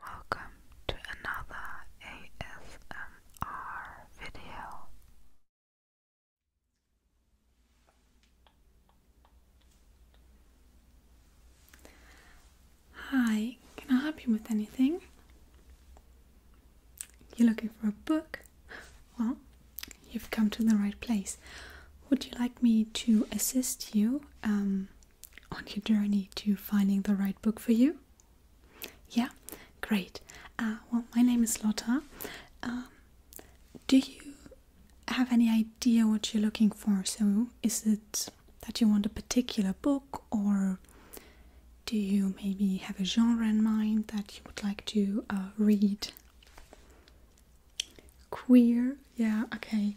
Welcome to another ASMR video. Hi, can I help you with anything? You're looking for a book? Well, you've come to the right place. Would you like me to assist you um, on your journey to finding the right book for you? Yeah, great. Uh, well, my name is Lotta. Um, do you have any idea what you're looking for? So, is it that you want a particular book, or do you maybe have a genre in mind that you would like to uh, read? Queer, yeah, okay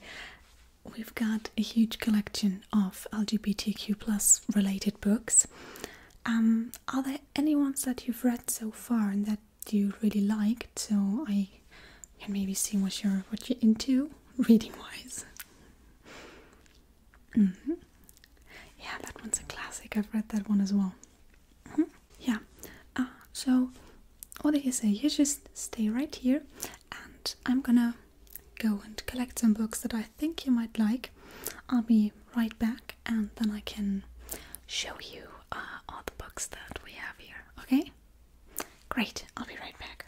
we've got a huge collection of LGBTQ plus related books. Um, are there any ones that you've read so far that you really liked? So I can maybe see what you're what you're into reading wise. Mm-hmm. Yeah, that one's a classic. I've read that one as well. Mm-hmm. Yeah. Uh, so what do you say? You just stay right here and I'm gonna go and collect some books that I think you might like. I'll be right back and then I can show you uh, all the books that we have here, okay? Great, I'll be right back.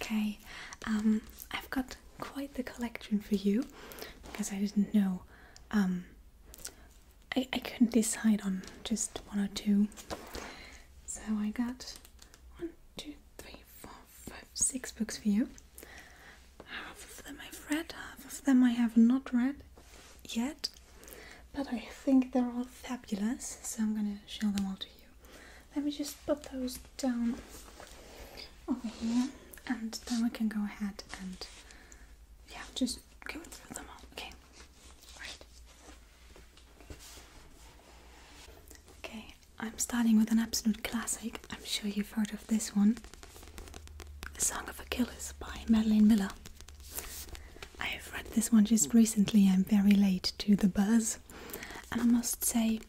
Okay, um, I've got quite the collection for you because I didn't know um, I, I couldn't decide on just one or two. So I got one, two, three, four, five, six books for you. Half of them I've read, half of them I have not read yet. But I think they're all fabulous, so I'm gonna show them all to you. Let me just put those down over here and then we can go ahead and yeah, just just go through them all. Okay. Alright. Okay, I'm starting with an absolute classic. I'm sure you've heard of this one. The Song of Achilles by Madeline Miller. I've read this one just recently. I'm very late to the buzz. And I must say,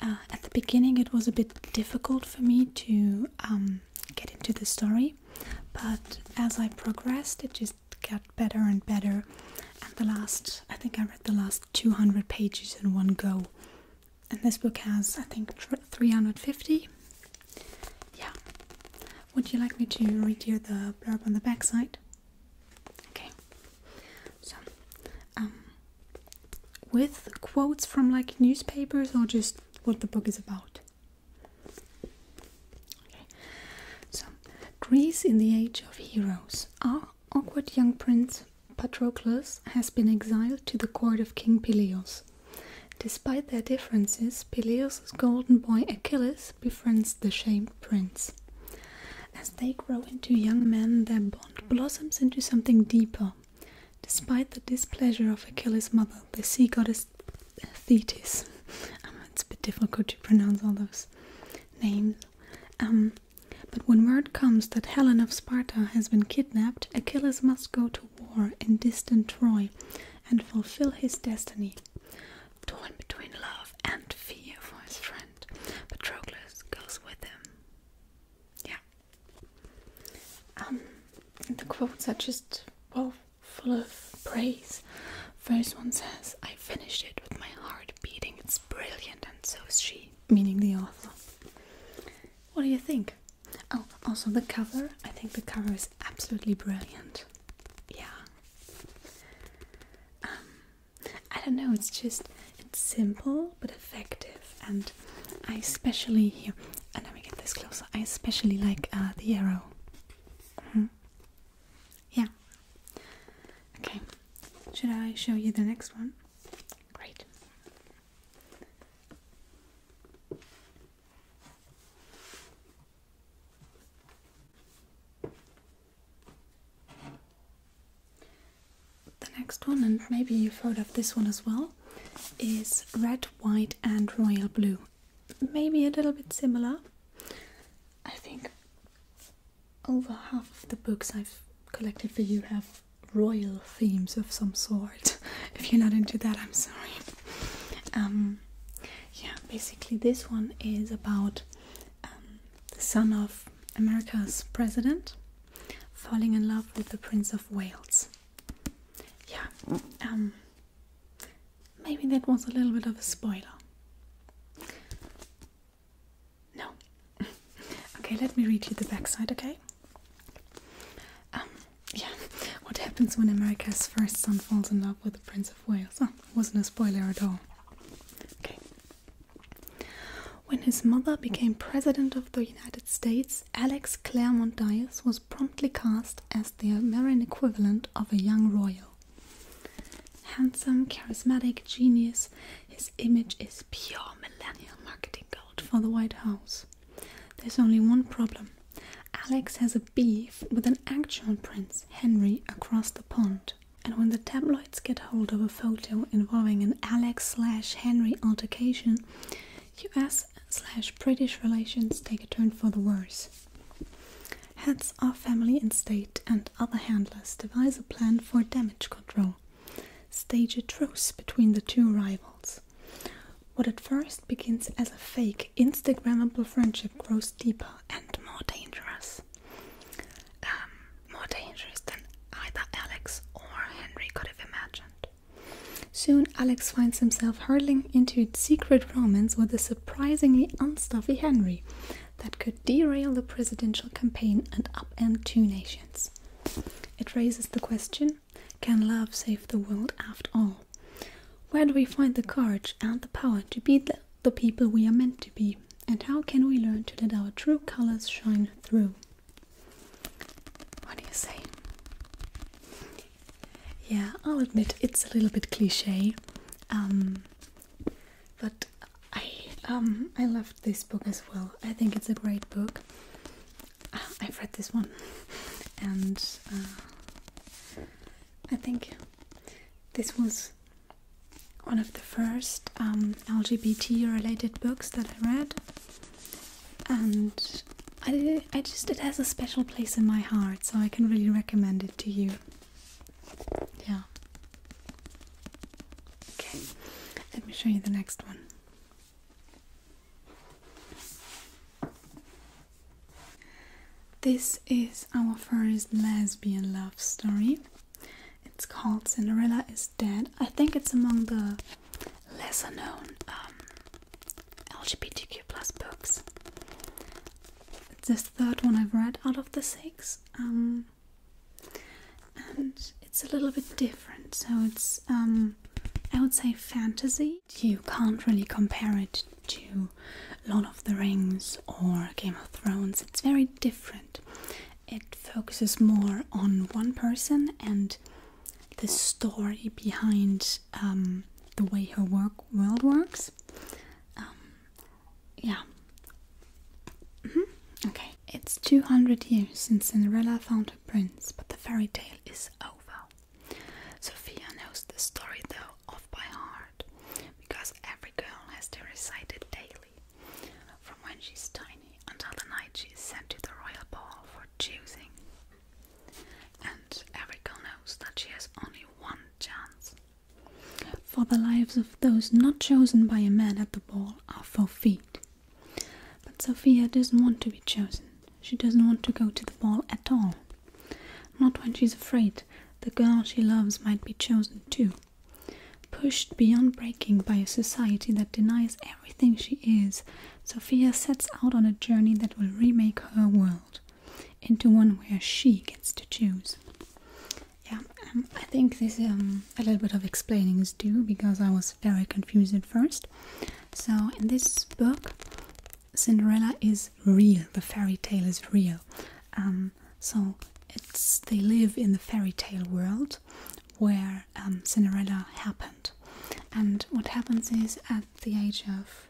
uh, at the beginning, it was a bit difficult for me to um, get into the story, but as I progressed, it just got better and better. And the last, I think I read the last 200 pages in one go. And this book has, I think, 350. Yeah. Would you like me to read you the blurb on the backside? Okay. So, um, with quotes from like newspapers or just what the book is about? So, Greece in the Age of Heroes. Our awkward young prince Patroclus has been exiled to the court of King Peleus. Despite their differences, Peleus' golden boy Achilles befriends the shamed prince. As they grow into young men, their bond blossoms into something deeper. Despite the displeasure of Achilles' mother, the sea goddess is Thetis. Um, it's a bit difficult to pronounce all those names. Um, but when word comes that Helen of Sparta has been kidnapped, Achilles must go to war in distant Troy and fulfill his destiny. Torn between love and fear for his friend, Patroclus goes with him. Yeah. Um, the quotes are just well full of praise. First one says, I finished it with my heart beating. It's brilliant, and so is she. Meaning the author. What do you think? Oh, also the cover. I think the cover is absolutely brilliant. Yeah. Um, I don't know, it's just, it's simple but effective. And I especially, here, and let me get this closer, I especially like uh, the arrow. Mm-hmm. Yeah. Okay. Should I show you the next one? Great. The next one, and maybe you've heard of this one as well, is red, white, and royal blue maybe a little bit similar. I think over half of the books I've collected for you have royal themes of some sort. if you're not into that, I'm sorry. Um, yeah, basically, this one is about um, the son of America's president falling in love with the Prince of Wales. Yeah, um, Maybe that was a little bit of a spoiler. No. okay, let me read you the backside, okay? Um, yeah, what happens when America's first son falls in love with the Prince of Wales? Oh, wasn't a spoiler at all. Okay. When his mother became President of the United States, Alex Claremont Dias was promptly cast as the American equivalent of a young royal. Handsome, charismatic, genius, his image is pure millennial marketing gold for the White House. There's only one problem. Alex has a beef with an actual prince, Henry, across the pond. And when the tabloids get hold of a photo involving an Alex slash Henry altercation, US slash British relations take a turn for the worse heads our family and state and other handlers devise a plan for damage control, stage a truce between the two rivals. What at first begins as a fake, Instagrammable friendship grows deeper and more dangerous. Um, more dangerous than either Alex or Henry could have imagined. Soon, Alex finds himself hurtling into secret romance with a surprisingly unstuffy Henry that could derail the presidential campaign and upend two nations. It raises the question can love save the world after all? Where do we find the courage and the power to be the, people we are meant to be? And how can we learn to let our true colors shine through? What do you say? Yeah, I'll admit it's a little bit cliche, um, but I um, I loved this book as well. I think it's a great book. Ah, I've read this one, and uh, I think this was one of the first um, LGBT-related books that I read, and I I just it has a special place in my heart, so I can really recommend it to you yeah. Okay, let me show you the next one. This is our first lesbian love story. It's called Cinderella is Dead. I think it's among the lesser known um, LGBTQ plus books. This third one I've read out of the six, um, and it's a little bit different. So it's um, I would say fantasy. You can't really compare it to Lord of the Rings or Game of Thrones. It's very different. It focuses more on one person and the story behind um, the way her work world works. Um, yeah. -hmm. Okay. It's 200 years since Cinderella found her prince, but the fairy tale is over. Sophia knows the story though off by heart, because every girl has to recite it daily, from when she's tiny until the night she is sent to the royal ball for choosing. And every girl knows that she has only one chance for the lives of those not chosen by a man at the ball are forfeit. But Sophia doesn't want to be chosen. She doesn't want to go to the ball at all. Not when she's afraid the girl she loves might be chosen too. Pushed beyond breaking by a society that denies everything she is, Sophia sets out on a journey that will remake her world into one where she gets to choose. Yeah, um, I think this um, a little bit of explaining is due because I was very confused at first. So in this book, Cinderella is real. The fairy tale is real. Um, so it's they live in the fairy tale world where um, Cinderella happened, and what happens is at the age of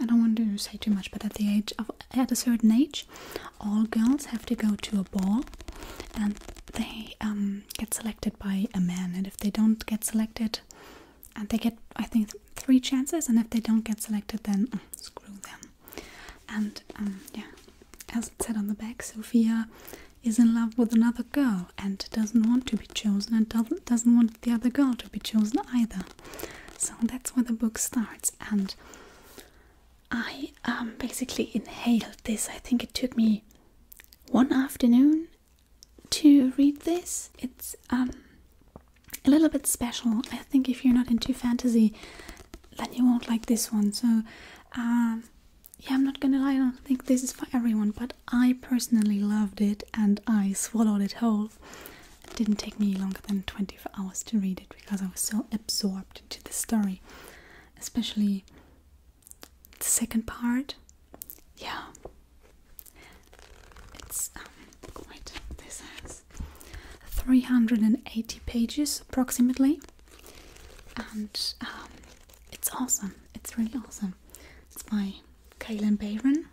I don't want to say too much, but at the age of at a certain age, all girls have to go to a ball, and they um, get selected by a man. And if they don't get selected, and they get I think three chances, and if they don't get selected, then mm, screw them. And um, yeah, as it said on the back, Sophia is in love with another girl and doesn't want to be chosen, and doesn't want the other girl to be chosen either. So that's where the book starts, and I um, basically inhaled this. I think it took me one afternoon to read this. It's um, a little bit special. I think if you're not into fantasy, then you won't like this one. So, um, yeah, I'm not gonna lie, I don't think this is for everyone, but I personally loved it and I swallowed it whole. It didn't take me longer than 24 hours to read it because I was so absorbed into the story, especially the second part. Yeah, it's um, wait, this has 380 pages approximately, and um, it's awesome, it's really awesome. It's by Kaylin Bayron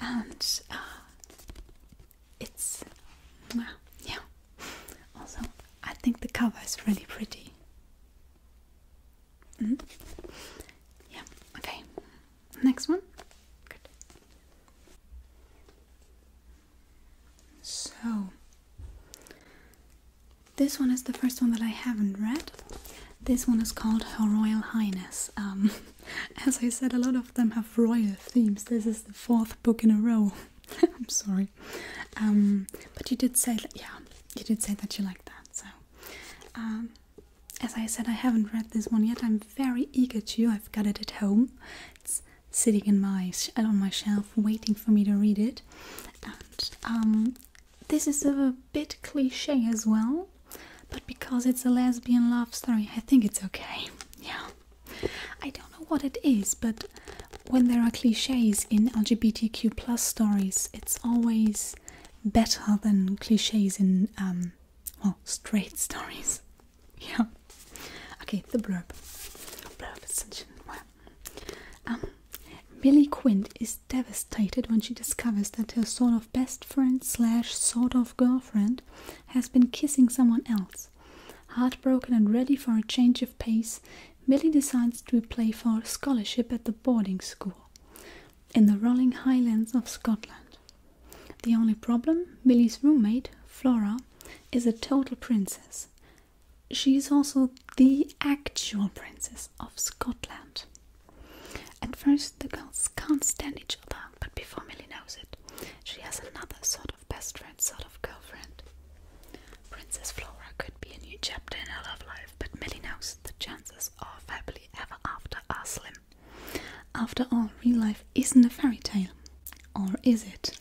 and uh, it's yeah. Also, I think the cover is really pretty. Mm-hmm. Yeah. Okay. Next one. Good. So this one is the first one that I haven't read. This one is called Her Royal Highness. Um, as I said, a lot of them have royal themes. This is the fourth book in a row. I'm sorry, um, but you did say that. Yeah, you did say that you like that. So, um, as I said, I haven't read this one yet. I'm very eager to. I've got it at home. It's sitting in my uh, on my shelf, waiting for me to read it. And this is a bit cliche as well but because it's a lesbian love story, I think it's okay. Yeah. I don't know what it is, but when there are cliches in LGBTQ plus stories, it's always better than cliches in um, well straight stories. Yeah. Okay, the blurb. Blurb is such a um Quint is devastated when she discovers that her sort of best friend slash sort of girlfriend has been kissing someone else. Heartbroken and ready for a change of pace, Millie decides to apply for a scholarship at the boarding school in the rolling highlands of Scotland. The only problem Millie's roommate, Flora, is a total princess. She is also the actual princess of Scotland. At first, the girls can't stand each other, but before Milly knows it, she has another sort of best friend, sort of girlfriend. Princess Flora could be a new chapter in her love life, but Milly knows the chances of happily ever after are slim. After all, real life isn't a fairy tale. Or is it?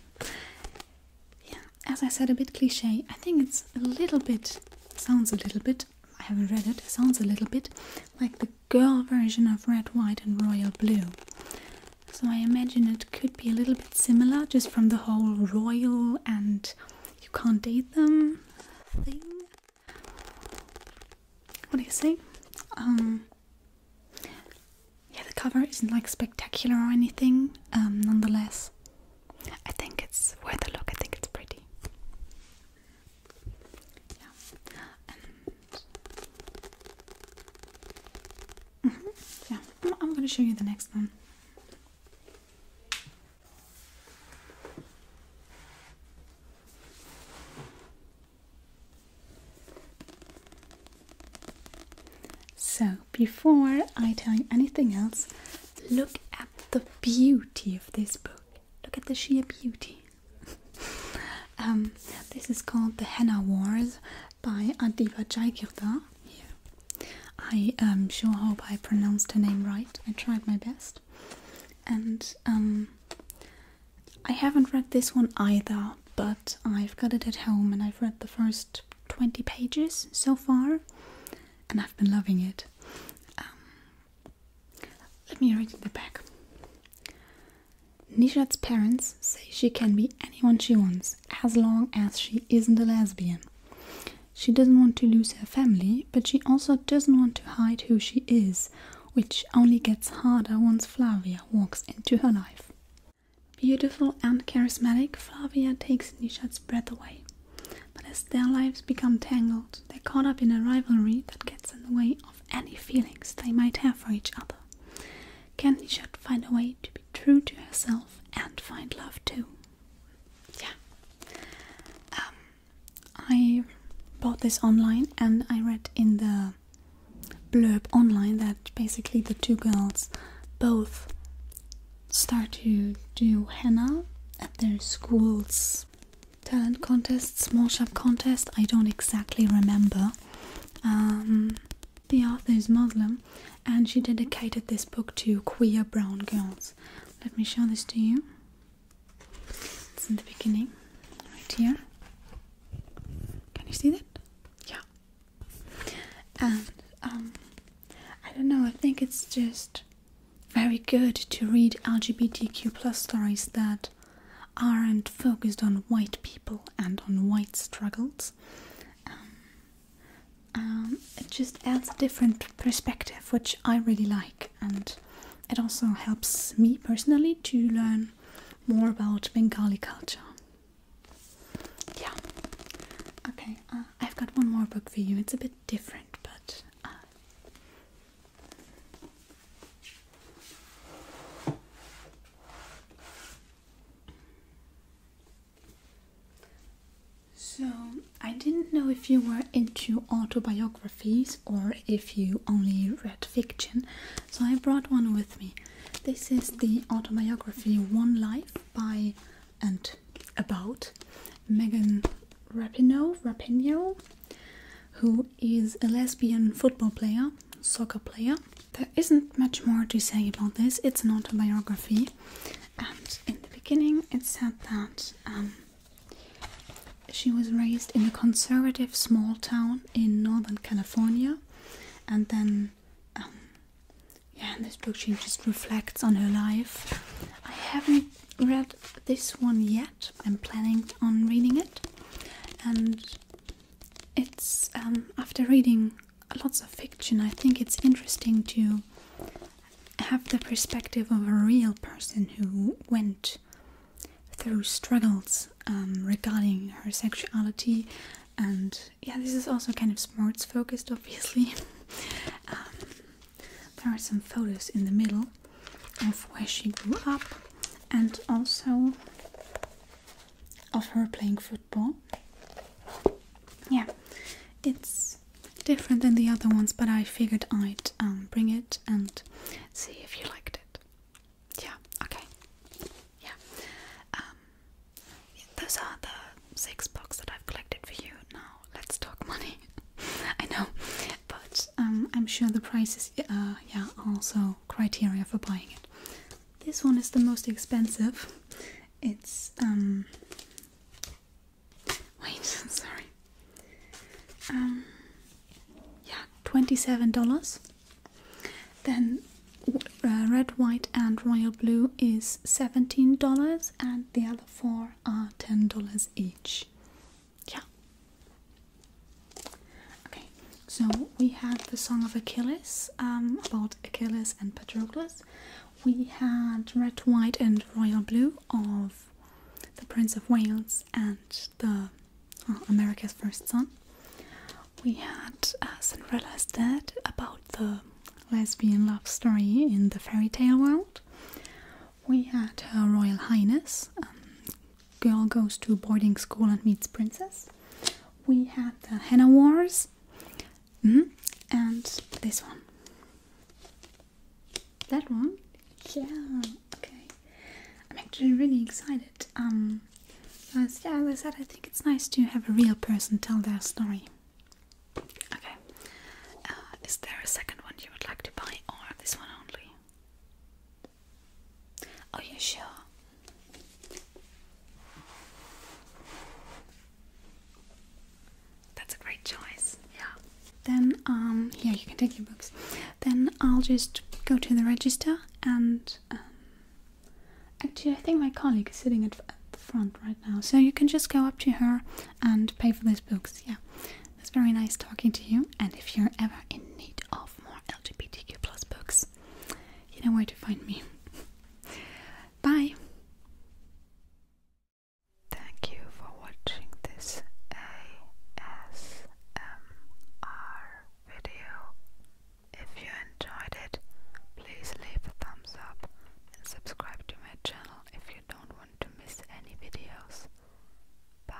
Yeah, as I said, a bit cliche. I think it's a little bit, sounds a little bit, I haven't read it, sounds a little bit like the girl version of red, white, and royal blue. So I imagine it could be a little bit similar just from the whole royal and you can't date them thing. What do you say? Um, yeah, the cover isn't like spectacular or anything, um, nonetheless, I think it's worth a look. I think it's pretty. Yeah. -hmm. yeah, I'm, I'm gonna show you the next one. So, before I tell you anything else, look at the beauty of this book. Look at the sheer beauty. Um, this is called The Henna Wars by Adiba Jaikirda. Yeah. I sure hope I pronounced her name right. I tried my best. And um, I haven't read this one either, but I've got it at home and I've read the first 20 pages so far and I've been loving it. Um, let me read the back. Nishat's parents say she can be anyone she wants as long as she isn't a lesbian. She doesn't want to lose her family, but she also doesn't want to hide who she is, which only gets harder once Flavia walks into her life. Beautiful and charismatic, Flavia takes Nishat's breath away. But as their lives become tangled, they're caught up in a rivalry that gets in the way any feelings they might have for each other. Candy should find a way to be true to herself and find love too. Yeah. Um, I bought this online and I read in the blurb online that basically the two girls both start to do henna at their school's talent contests, small shop contest. I don't exactly remember um, the author is Muslim and she dedicated this book to queer brown girls. Let me show this to you. It's in the beginning, right here. Can you see that? Yeah. And um, I don't know, I think it's just very good to read LGBTQ plus stories that aren't focused on white people and on white struggles. Um, um, it just adds a different perspective, which I really like, and it also helps me personally to learn more about Bengali culture. Yeah. Okay, uh, I've got one more book for you. It's a bit different, but. Uh, so, I didn't know if you were into autobiographies or if you only read fiction, so I brought one with me. This is the autobiography One Life by and about Megan Rapinoe, who is a lesbian football player soccer player. There isn't much more to say about this, it's an autobiography, and in the beginning it said that um, she was raised in a conservative small town in northern California, and then, um, yeah, in this book she just reflects on her life. I haven't read this one yet, I'm planning on reading it, and it's um, after reading lots of fiction, I think it's interesting to have the perspective of a real person who went through struggles um, regarding her sexuality. And yeah, this is also kind of sports focused, obviously. Um, there are some photos in the middle of where she grew up, and also of her playing football. Yeah, it's different than the other ones, but I figured I'd um, bring it and see if you liked it. Yeah, okay. Yeah. Um, those are the six books that I've collected for you. Now, let's talk money. I know, but um, I'm sure the prices uh, yeah, are also criteria for buying it. This one is the most expensive. It's um wait, sorry. Um yeah, twenty-seven dollars. Then uh, red, white, and royal blue is seventeen dollars, and the other four are ten dollars each. Yeah, Okay, so we had the Song of Achilles, um, about Achilles and Patroclus. We had Red, White, and Royal Blue of the Prince of Wales and the uh, America's First Son. We had uh, Cinderella's Dead about the lesbian love story in the fairy tale world. We had Her Royal Highness, um, girl goes to boarding school and meets princess. We had the Henna Wars mm-hmm. and this one. That one? Yeah, okay. I'm actually really excited. Um, as, yeah, as I said, I think it's nice to have a real person tell their story. Okay. Uh, is there a second one you would like to buy or this one only? Are you sure? That's a great choice. Yeah. Then um yeah, you can take your books. Then I'll just go to the register and um, actually I think my colleague is sitting at, at the front right now. So you can just go up to her and pay for those books. Yeah. It's very nice talking to you and if you're ever in need of more LGBTQ plus books, you know where to find me. Bye! Thank you for watching this ASMR video. If you enjoyed it, please leave a thumbs up and subscribe to my channel if you don't want to miss any videos. Bye!